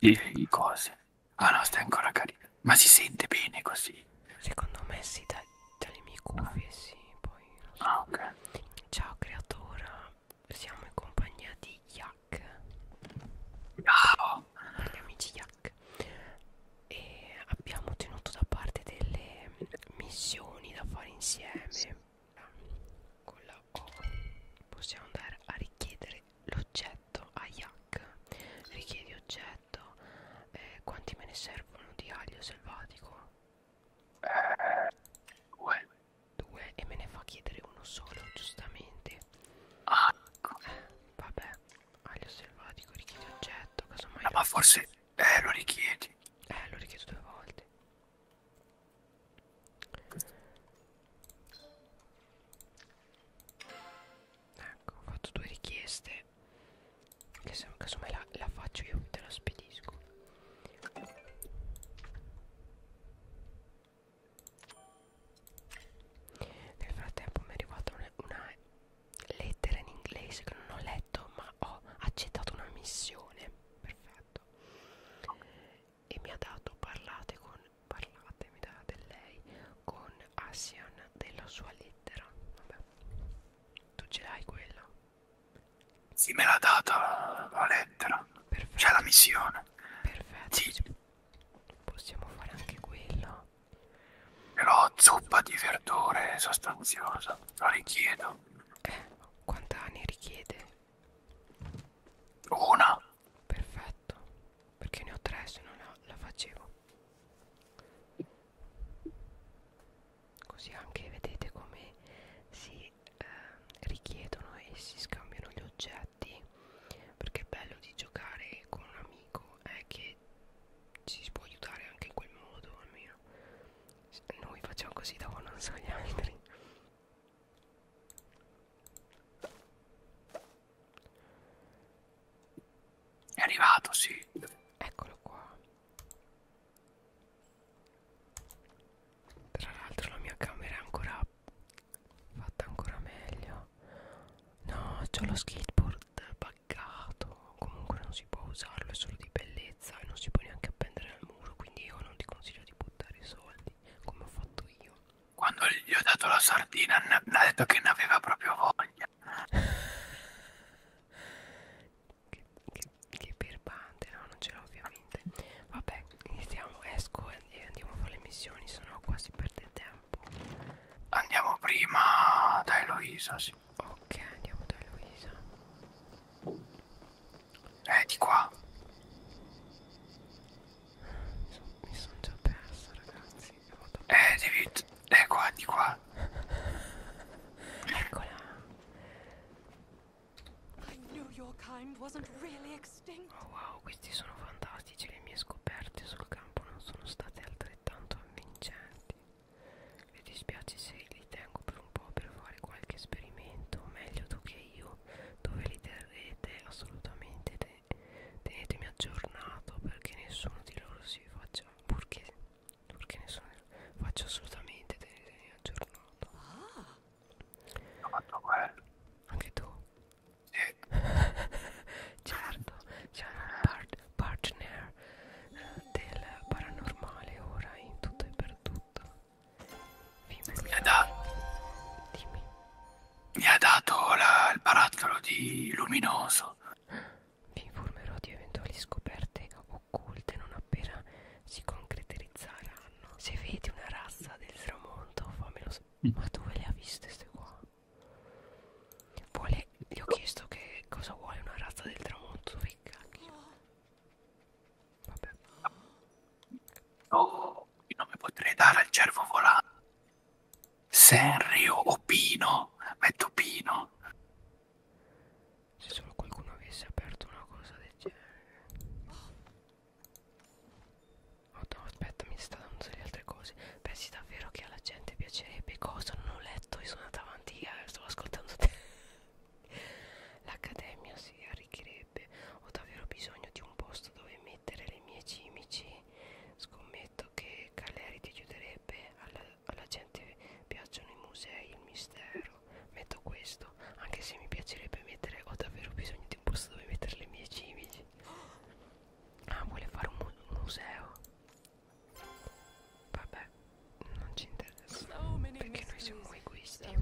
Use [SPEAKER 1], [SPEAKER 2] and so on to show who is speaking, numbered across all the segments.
[SPEAKER 1] i cose. Ah no, stai ancora carina. Ma si sente bene così? Secondo me sì, da, dalle mie cuffie sì, poi non so. Ah, ok. Ciao creatora, siamo in compagnia di Yak. Ciao! Gli amici Yak. E abbiamo tenuto da parte delle missioni da fare insieme. Con la O possiamo andare a richiedere l'oggetto a yak richiedi oggetto eh, quanti me ne servono di aglio selvatico? Eh, due due e me ne fa chiedere uno solo giustamente ah eh, vabbè aglio selvatico richiedi oggetto casomai no, eh, ma forse eh, lo richiedi eh lo richiedo due volte Ecco, ho fatto due richieste. Che se casomai la, la faccio io te la spedisco. Nel frattempo mi è arrivata una, una lettera in inglese che non ho letto ma ho accettato una missione. Perfetto e mi ha dato parlate con parlate mi dà del lei con Asian della sua lettera vabbè tu ce l'hai quella sì me l'ha data la lettera c'è la missione perfetto sì. possiamo fare anche quella però zuppa di verdure sostanziosa la richiedo eh, quanta ne richiede? Una perfetto perché ne ho tre se non la, la facevo così anche vedete come si eh, richiedono e si scambiano gli oggetti perché è bello di giocare con un amico è eh, che ci si può aiutare anche in quel modo almeno noi facciamo così da non so gli altri è arrivato, sì. Eccolo qua. Tra l'altro la mia camera è ancora fatta ancora meglio. No, c'ho lo skateboard buggato. Comunque non si può usarlo, è solo di bellezza e non si può neanche appendere al muro, quindi io non ti consiglio di buttare i soldi come ho fatto io quando gli ho dato la sardina mi ha detto che ne aveva proprio voglia che, che, che birbante no non ce l'ho ovviamente vabbè iniziamo esco e andiamo a fare le missioni sennò qua si perde tempo andiamo prima da Eloisa sì. ok andiamo da Eloisa eh, di qua. Mi sono già perso, ragazzi. Eh, devi... Eh, qua, di qua. Eccola. Oh wow, questi sono fantastici. Le mie scoperte sul campo non sono state altrettanto avvincenti. Mi dispiace se li tengo per un po' per fare qualche esperimento. O meglio, tu che anche io dove li terrete assolutamente te tenetemi aggiornato perché nessuno di loro si faccia perché, perché nessuno faccio assolutamente tenetemi aggiornato ah. ho fatto quello anche tu sì. certo siamo un part partner del paranormale ora in tutto e per tutto mi ha, da mi ha dato la, il barattolo di luminoso. Vi informerò di eventuali scoperte occulte non appena si concretizzeranno. Se vedi una razza del tramonto, fammelo sapere. Mm. Ma dove le ha viste queste qua? Vuole... Gli ho chiesto che cosa vuole una razza del tramonto. Dove cacchio? Vabbè. No, io non mi potrei dare al cervo volante. Senrio o Pino? Metto Pino. Se solo qualcuno avesse aperto una cosa del genere. Oh no, aspetta, mi sta dando delle altre cose. Pensi davvero che alla gente piacerebbe cosa? Non ho letto, io sono andato avanti, io eh, stavo ascoltando te. L'accademia si arricchirebbe piacerebbe ho davvero bisogno di un posto dove mettere le mie cimici scommetto che Caleri ti chiuderebbe alla, alla gente piacciono i musei il mistero metto questo anche se mi piacerebbe mettere ho davvero bisogno di un posto dove mettere le mie cimici ah vuole fare un, mu un museo vabbè non ci interessa perché noi siamo egoisti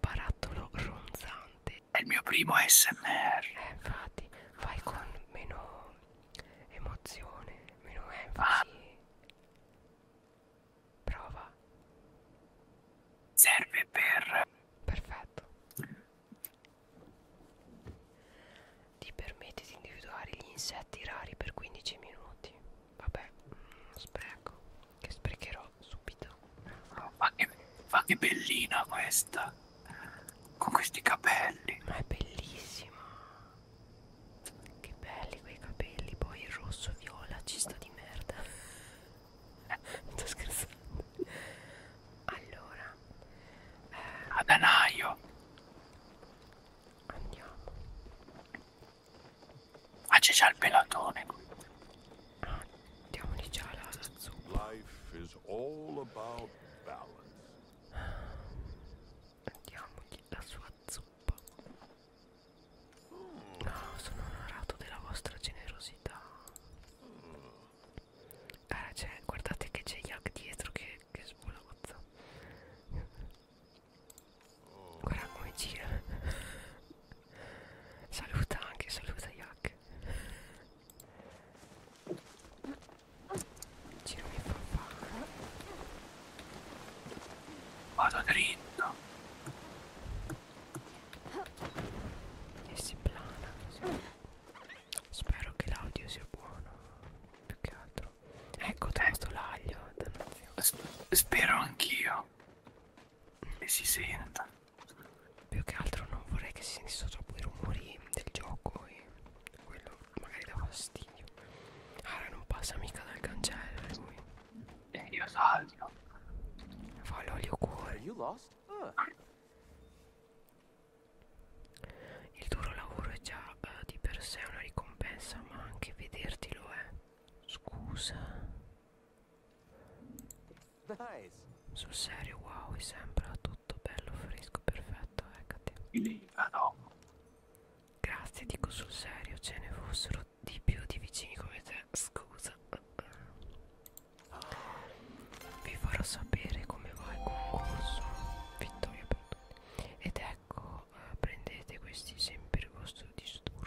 [SPEAKER 1] barattolo ronzante. È il mio primo ASMR. Eh, infatti, fai con meno emozione, meno ah. enfasi. Ah. Prova. Serve per... Perfetto. Ti permette di individuare gli insetti rari per 15 minuti. Vabbè, spreco. Che sprecherò subito. Oh, ma, che, ma che bellina questa! Con questi capelli. Ma è bellissima. Che belli quei capelli. Poi il rosso viola ci sta di merda. Eh. Sto scherzando. Allora. Eh, Adanaio. Andiamo. Ah, c'è già il pelatone. Diamogli già la zuppa. Diamogli la sua zuppa. No, sono onorato della vostra generosità. Ah, guardate che c'è Yak dietro che, che svolazza. Guarda come gira Saluta anche, saluta Yak Giro mi fa fare Vado dritto E si plana Spero che l'audio sia buono Più che altro Ecco, tanto l'aglio Spero anch'io e si senta più che altro non vorrei che si sentissero troppo i rumori del gioco e quello magari dà fastidio Ara non passa mica dal cancello eh, lui e eh, io salgo fa l'olio cuore il duro lavoro è già uh, di per sé una ricompensa ma anche vederti lo è scusa sul serio, wow, mi sembra tutto bello, fresco, perfetto, eccati. Eh, ah no. Grazie, dico sul serio, ce ne fossero di più di vicini come te, scusa. Vi farò sapere come va il concorso. Vittoria per tutti. Ed ecco, eh, prendete questi sempre il vostro disturbo.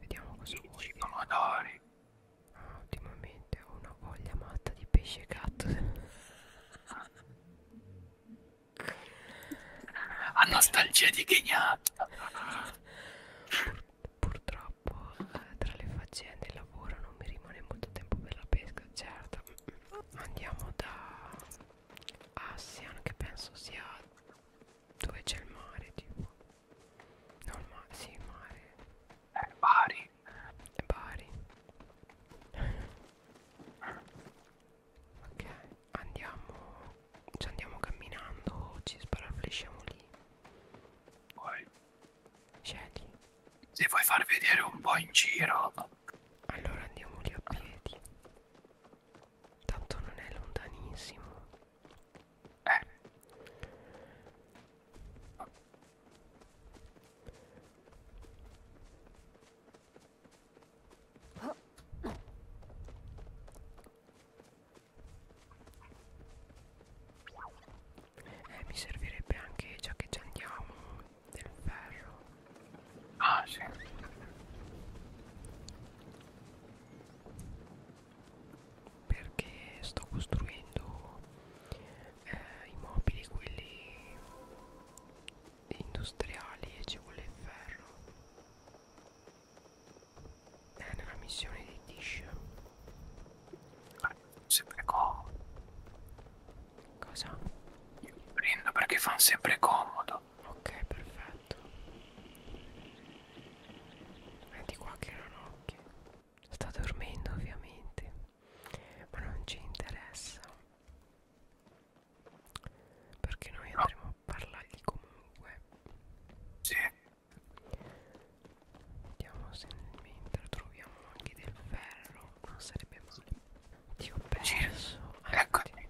[SPEAKER 1] Vediamo cosa vuoi. pomodori. Ah, ultimamente ho una voglia matta di pesce gatto. A nostalgia di ghignata. Pur, purtroppo eh, tra le faccende e il lavoro non mi rimane molto tempo per la pesca, certo. Andiamo da Asian che penso sia dove c'è il mare tipo No il mare, sì il mare Eh, Bari È eh, Bari Ok, andiamo Ci andiamo camminando Ci sparaflesciamo lì Poi Scegli Se vuoi far vedere un po' in giro Allora andiamo lì a piedi Tanto non è lontanissimo. Eh. Oh. Eh, mi servirebbe anche, già che ci andiamo, del ferro. Ah, sì. Perché sto costruendo eh, i mobili quelli industriali e ci vuole il ferro. È nella missione di Tish. Ah, eh, sempre comodo. Cosa? Io prendo perché fanno sempre comodo. Ah, ok, perfetto. Vedi qua che erano occhi. Sta dormendo ovviamente, ma non ci interessa. Perché noi andremo a parlargli comunque. Sì. Vediamo se mentre troviamo anche del ferro. Non sarebbe male. Ti ho perso. Eccomi.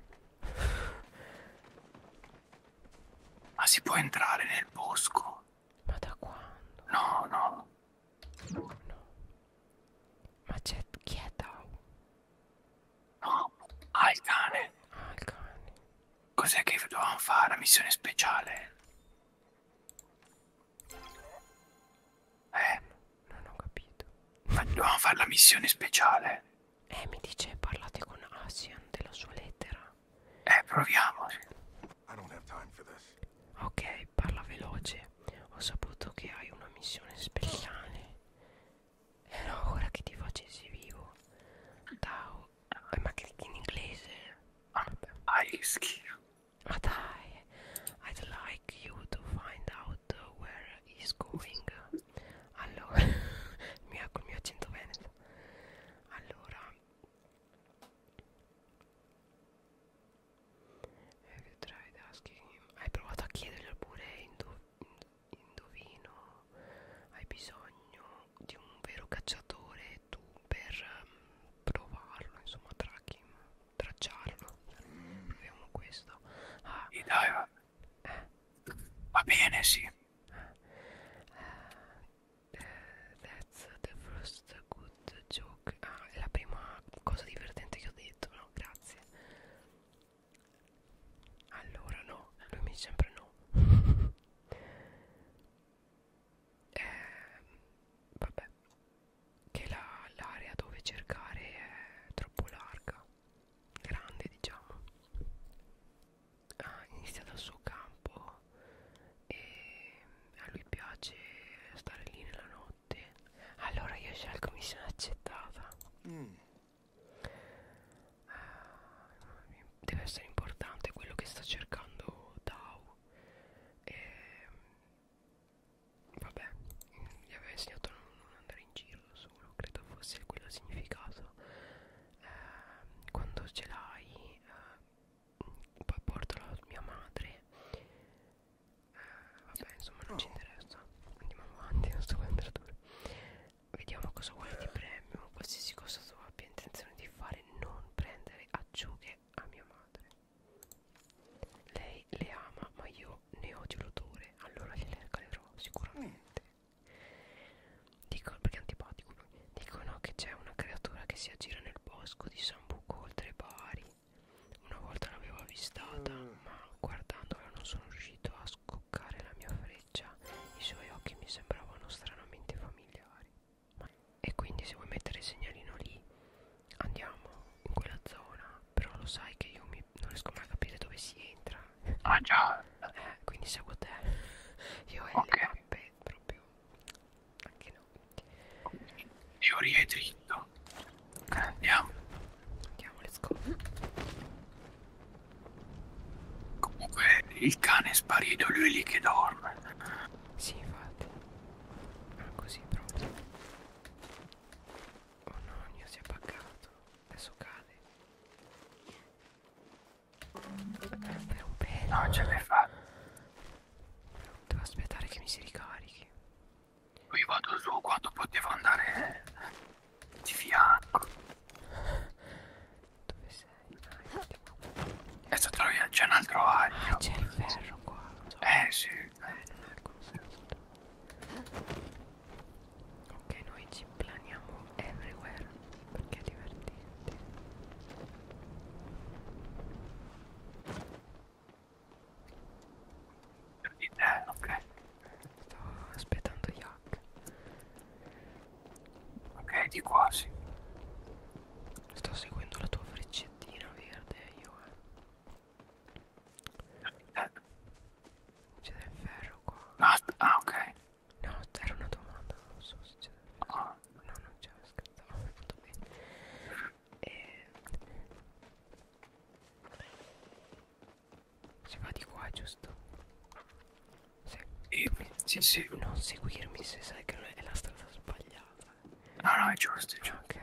[SPEAKER 1] Ma si può entrare nel bosco? Ma da quando? No, no. No, no. Ma c'è chi è Tau? No, ah il cane. Ah il cane. Cos'è che dovevamo fare? La missione speciale? Eh. Non ho capito. Ma dobbiamo fare la missione speciale. Eh, mi dice parlate con Asian della sua lettera. Eh, proviamo. Ok, parla veloce. Ho saputo che hai una missione speciale. Era eh, ora che ti facessi vivo. Ciao. Eh, ma che in inglese? Ah, hai ah, schifo. Ma dai. I'd like you to find out where he's going allora mio, col mio accento veneto allora eh, hai provato a chiederglielo pure indo, indovino hai bisogno di un vero cacciatore tu per ehm, provarlo insomma tracking tracciarlo mm. proviamo questo ah, e dai, Va bene, sì. Uh, that's the first good joke. Ah, è la prima cosa divertente che ho detto, no? Grazie. Allora, no, lui mi dice sempre no. eh, vabbè, che l'area la, dove cercare è troppo larga grande diciamo ha iniziato il suo campo e a lui piace stare lì nella notte allora io scelgo missione accettata mm. Ah, deve essere importante quello che sta cercando Tao e ehm, Vabbè, gli aveva insegnato a non, non andare in giro da solo, credo fosse quello il significato. Eh, quando ce l'hai, eh, poi portala a mia madre. Eh, vabbè, insomma, non oh. ci interessa. Andiamo avanti, non sto guardando. Vediamo cosa vuole di premio. Qualsiasi cosa tu abbia intenzione di fare, non prendere acciughe a mia madre. Lei le ama, ma io io ne odio l'odore, allora gliele regalerò sicuramente. Dico, perché è antipatico lui. Dicono che c'è una creatura che si aggira nel bosco di Sambuco oltre Bari. Una volta l'avevo avvistata, mm. ma guardandola non sono riuscito a scoccare la mia freccia. I suoi occhi mi sembravano stranamente familiari. E quindi se vuoi mettere il segnalino lì, andiamo in quella zona però lo sai che io mi, non riesco mai a capire dove si entra ah già eh, quindi seguo te io e okay. le mappe proprio anche no teoria è dritto andiamo andiamo let's go comunque il cane è sparito lui è lì che dorme sì infatti ah, così proprio Oh no, Nia si è buggato. Adesso cade. Per un pelo. Non ce l'hai fatta. Devo aspettare che mi si ricarichi. Qui vado su quando potevo andare di fianco. Dove sei? Dai, Adesso trovi c'è un altro aglio. Ah, c'è il ferro qua. So. Eh sì. Eh, non è il consenso. Ecco, ok noi ci planiamo everywhere perché è divertente eh, ok sto aspettando Yak ok di qua sì sto seguendo la tua freccettina verde io eh. C'è del ferro qua. No, ah, ok. No, era una domanda, non so se c'è del ferro. Oh. No, non c'è, scherzavo, mi fatto bene. E... Eh, si va di qua, giusto? Sì. E, sì, sì. Non seguirmi se sai che è la strada sbagliata. No, no, è giusto, è giusto. Ok.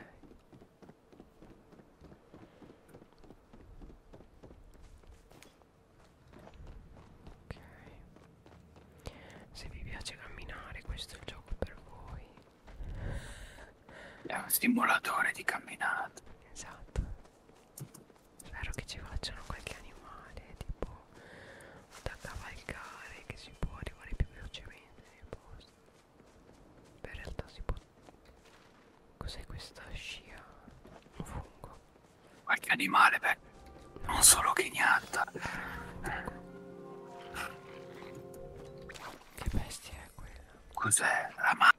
[SPEAKER 1] Ok Se vi piace camminare questo è il gioco per voi È un simulatore di camminata Esatto Spero che ci facciano qualche animale tipo da cavalcare che si può arrivare più velocemente nel posto Beh, in realtà si può... Cos'è questa scia? Un fungo. Qualche animale, beh. Non solo ghignata. Che bestia è quella? Cos'è? La ma...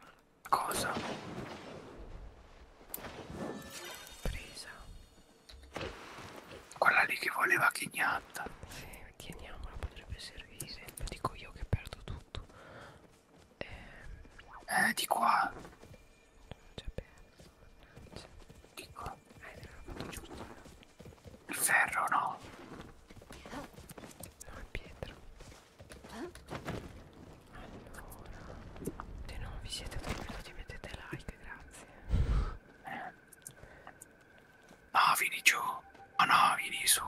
[SPEAKER 1] cosa? Presa. Quella lì che voleva ghignata. Sì, teniamola, potrebbe servire. Lo dico io che perdo tutto sotto. E... Eh, di qua. C'è perso, mannaggia. Di qua. Eh, l'ho fatto giusto. Il ferro no. No, è pietra. Allora. Se non vi siete addormentati mettete like, grazie. Eh. No, vieni giù. Oh no, vieni su.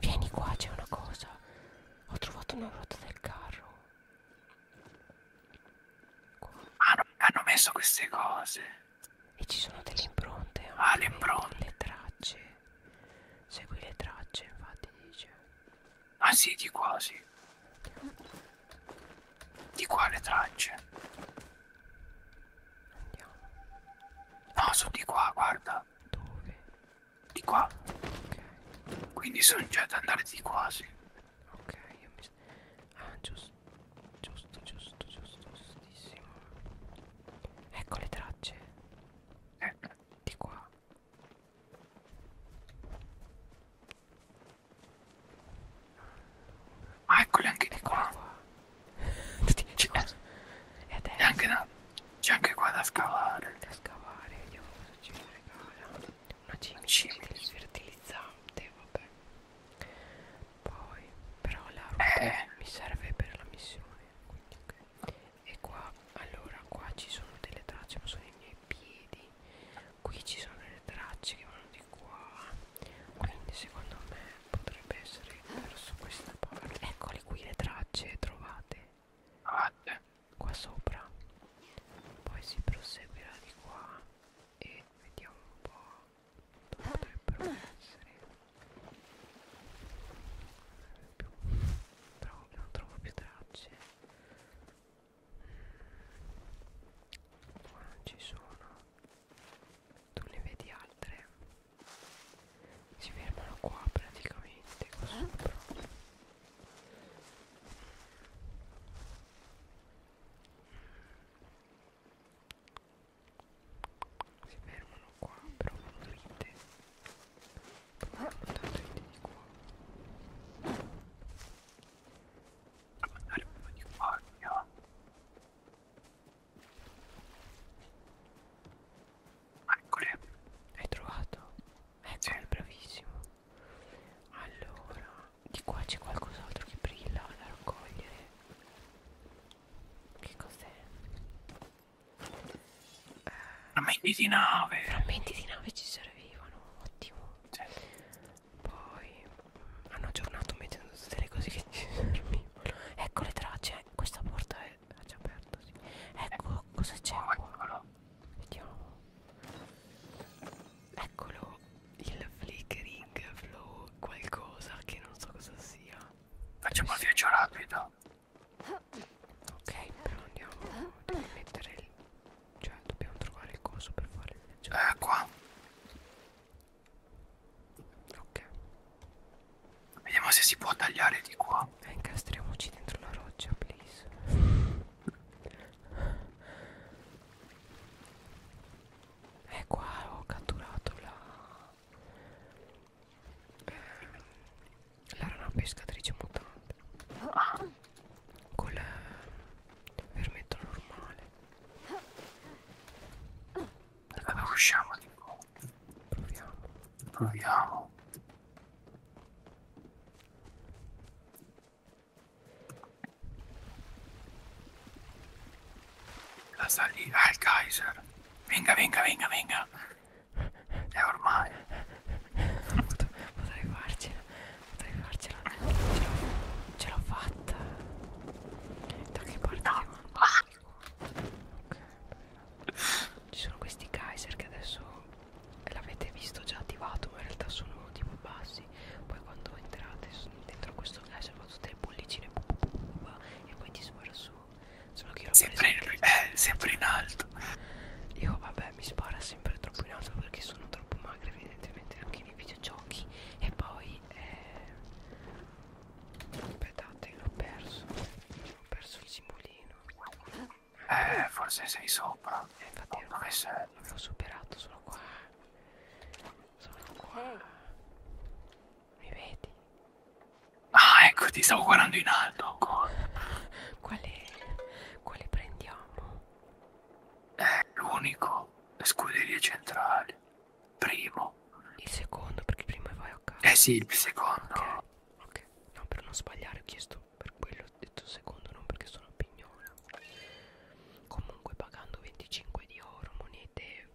[SPEAKER 1] Vieni qua, c'è una cosa. Ho trovato una ruota del carro. Qua. Ah, no, hanno messo queste cose. E ci sono delle impronte. Anche ah, le impronte. Le tracce. Segui le tracce, infatti dice. Ah sì, di qua sì. Di qua le tracce. Andiamo. No, sono di qua, guarda. Dove? Di qua. Ok. Quindi sono già ad andare di qua, sì. Ok, io mi... Ah, giusto. Giusto, giusto, giusto, giustissimo. Ecco le tracce. Eh. Di qua. Ah, eccole anche di qua. qua. Scusa. Cioè, e adesso? C'è anche, da... anche qua da scavare. Da scavare, vediamo cosa ci regala. Una cimice sfertilizzante, vabbè. Poi, però la ruota eh. mi serve per la missione. Quindi, okay. E qua, allora, qua ci sono delle tracce, ma sono i miei piedi. Qui ci sono delle tracce che vanno di qua. Quindi secondo me potrebbe essere verso questa parte eccole qui le tracce trovate ah, qua sopra poi si proseguirà di qua e vediamo un po' dove potrebbero essere più. Trovo, non trovo più tracce qua non ci sono tu ne vedi altre si fermano qua praticamente qua eh? sopra si fermano qua però vanno dritte eh? vanno dritte di qua ma andare prima di qua via Eccole, hai trovato? Eccole, sì. bravissimo. Allora, di qua c'è qualcos'altro che brilla da raccogliere. Che cos'è? Eh, frammenti di nave. Frammenti di nave ci servivano, ottimo. Sì. Poi mm, hanno aggiornato mettendo tutte le cose che ci servivano. Ecco le tracce, eh, questa porta è già aperta sì. ecco cosa c'è qua vediamo eccolo il flickering flow qualcosa che non so cosa sia facciamo il sì. viaggio rapido ok però andiamo dobbiamo mettere il cioè dobbiamo trovare il coso per fare il viaggio eh qua Ok. Vediamo se si può tagliare di qua. Eh, incastriamoci dentro la roccia, please. Eh, qua ho catturato la... Ehm, la rana pescatrice mutante. Ah. Col ehm, vermetto normale. E come usciamo di qua? Proviamo. Proviamo. La salita al ah, Kaiser. Venga, venga, venga, venga. È ormai. Potrei farcela, potrei farcela. Ce l'ho fatta. Da che parte? Ah. Ci sono questi Kaiser che adesso l'avete visto già attivato, ma in realtà sono tipo bassi. Poi quando entrate dentro questo Kaiser fa tutte le bollicine e poi ti spara su. Solo che io sempre, in, eh, sempre in alto. Io vabbè mi spara sempre troppo in alto perché sono troppo magra evidentemente anche nei videogiochi. E poi eh, Aspettate, l'ho perso. Ho perso il simbolino. Eh, forse sei sopra. Eh, infatti non dove sei? L'avevo superato, sono qua. Sono qua. Mi vedi? Ah, ecco, ti stavo guardando in alto ancora. Quale, quale prendiamo? È l'unico, le scuderie centrali primo. Il secondo, perché prima vai a casa. Eh sì, il secondo. Ok, okay. no, per non sbagliare ho chiesto per quello, ho detto secondo, non perché sono a pignona. Comunque pagando 25 di oro, monete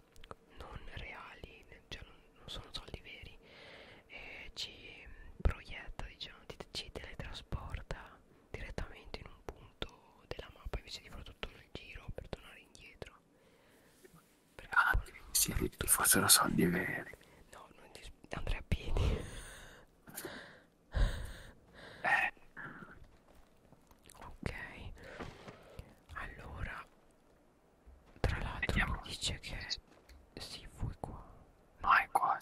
[SPEAKER 1] non reali, cioè non, non sono soldi veri, e ci proietta, diciamo, ti, ci teletrasporta direttamente in un punto della mappa invece di fare tutto il giro per tornare indietro perché ah, sì, ti fossero soldi veri. No, non ti andrei a piedi. Eh. Ok. Allora, tra l'altro mi dice che si fui qua. No, è qua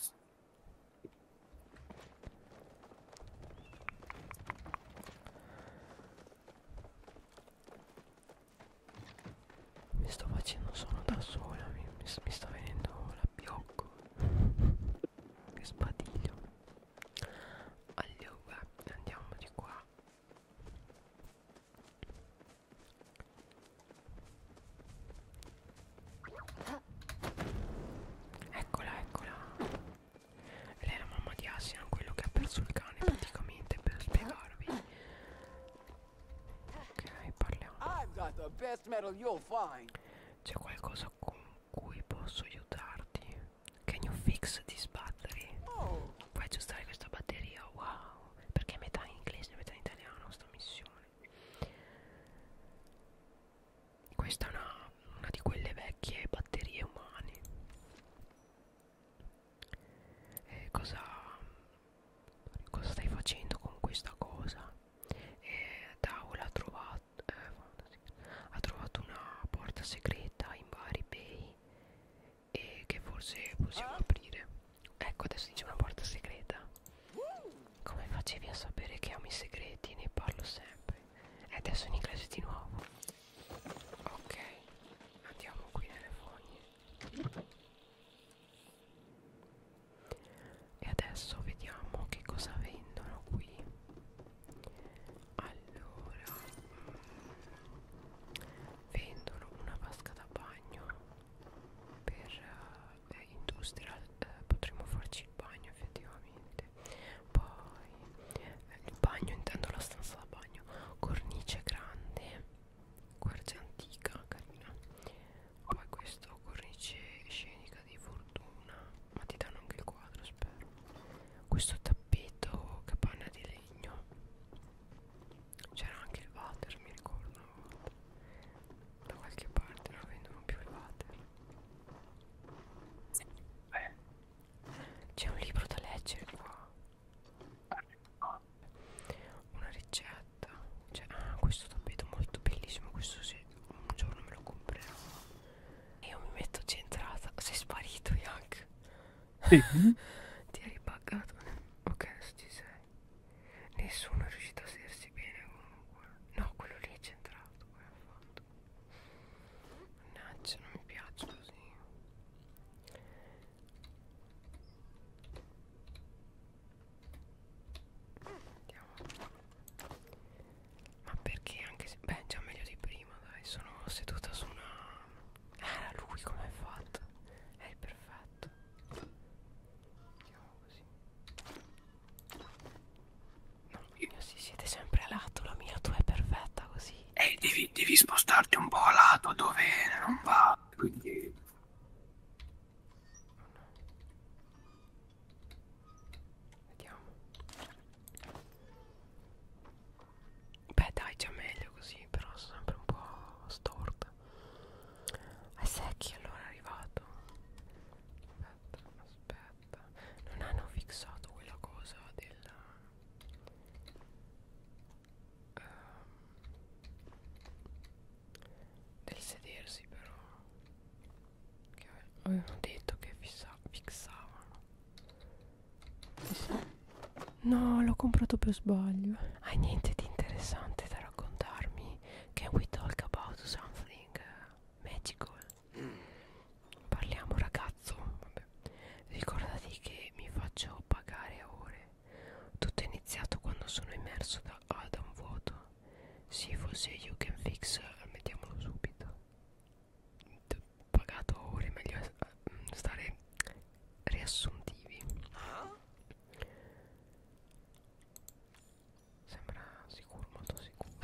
[SPEAKER 1] mi sto facendo solo da sola mi, mi, mi sta venendo la biocco che sbadiglio allora andiamo di qua Eccola, eccola lei è la mamma di Asian, quello che ha perso il cane praticamente per spiegarvi. Ok, parliamo. C'è qualcosa con cui posso aiutarti? Can you fix this battery? Puoi oh. aggiustare questa batteria? Wow, perché è metà in inglese e metà in italiano sta missione. Questa è una, una di quelle vecchie batterie umane eh, cosa, cosa stai facendo con questa cosa eh, Daul ha trovato, eh, ha trovato una porta segreta in vari bay e che forse possiamo ah. aprire ecco adesso dice una porta segreta come facevi a sapere che ami i segreti ne parlo sempre e eh, adesso in inglese di nuovo Ok, andiamo qui nelle fogne. E adesso vediamo che cosa vendono qui. Allora, mm, vendono una vasca da bagno per eh, eh, industrial. Eh, potremmo farci il bagno effettivamente poi il bagno intendo la stanza da bagno cornice grande quercia antica carina poi questo cornice scenica di fortuna ma ti danno anche il quadro spero questo tappeto capanna di legno c'era anche il water mi ricordo da qualche parte non vendono più il water eh, c'è un libro da leggere qua. Una ricetta. Cioè, ah, questo tappeto molto bellissimo. Questo se un giorno me lo comprerò. E io mi metto centrata. Sei sparito, Yank. Sì. Ti hai ripagato. Ok, ci sei. Nessuno è riuscito a sedersi bene comunque. No, quello lì è centrato. Quello fatto mannaggia non mi piace così Andiamo. Ma perché anche se... Beh, già meglio di prima, dai. Sono seduta su una... Era ah, lui come è fatto. È il perfetto. Andiamo così. No. Io... Sì, siete sempre a lato, la mia tua è perfetta così. Eh, devi, devi spostarti un po' a lato dove non va, quindi... Vediamo. Beh dai, già meglio così, però sono sempre un po' storta. A secchi allora è arrivato. Aspetta, aspetta mappa non hanno fissato quella cosa della um, ehm, del sedersi però che avevano detto che fissa, fissavano no l'ho comprato per sbaglio hai niente di interessante da raccontarmi can we talk about something eh, magical Parliamo ragazzo Vabbè. Ricordati che mi faccio pagare a ore Tutto è iniziato quando sono immerso da, ah, da un vuoto Sì forse you can fix Mettiamolo subito Pagato a ore Meglio mm, stare riassuntivi Sembra sicuro, molto sicuro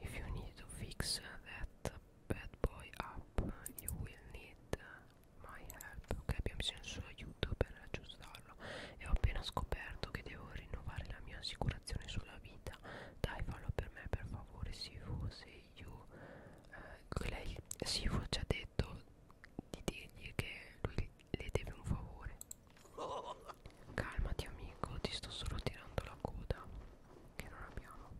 [SPEAKER 1] If you need to fix that Bad Boy Up You Will Need My Help Ok abbiamo bisogno del suo aiuto per aggiustarlo E ho appena scoperto che devo rinnovare la mia assicurazione sulla vita Dai fallo per me per favore Sifu Se io eh, Lei Sifu ci ha detto di dirgli che lui le deve un favore Calmati amico ti sto solo tirando la coda che non abbiamo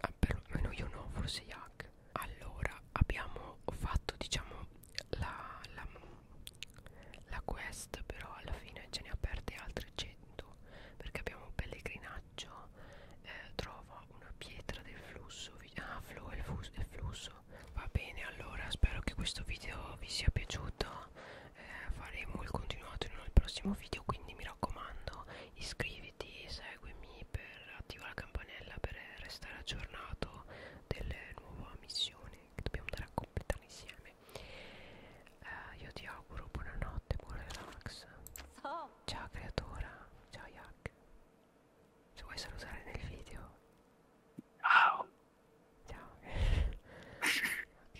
[SPEAKER 1] ah, perlomeno io no forse Yak allora abbiamo fatto diciamo la, la, la quest però alla fine ce ne ha aperte altre 100 perché abbiamo un pellegrinaggio eh, trova una pietra del flusso ah flow è il flusso va bene allora spero che questo video vi sia piaciuto eh, faremo il continuato in un prossimo video quindi mi raccomando iscriviti seguimi per attivare la campanella per restare aggiornato della nuova missione che dobbiamo andare a completare insieme eh, io ti auguro buonanotte buon relax ciao creatora ciao Yak se vuoi salutare nel video ciao ciao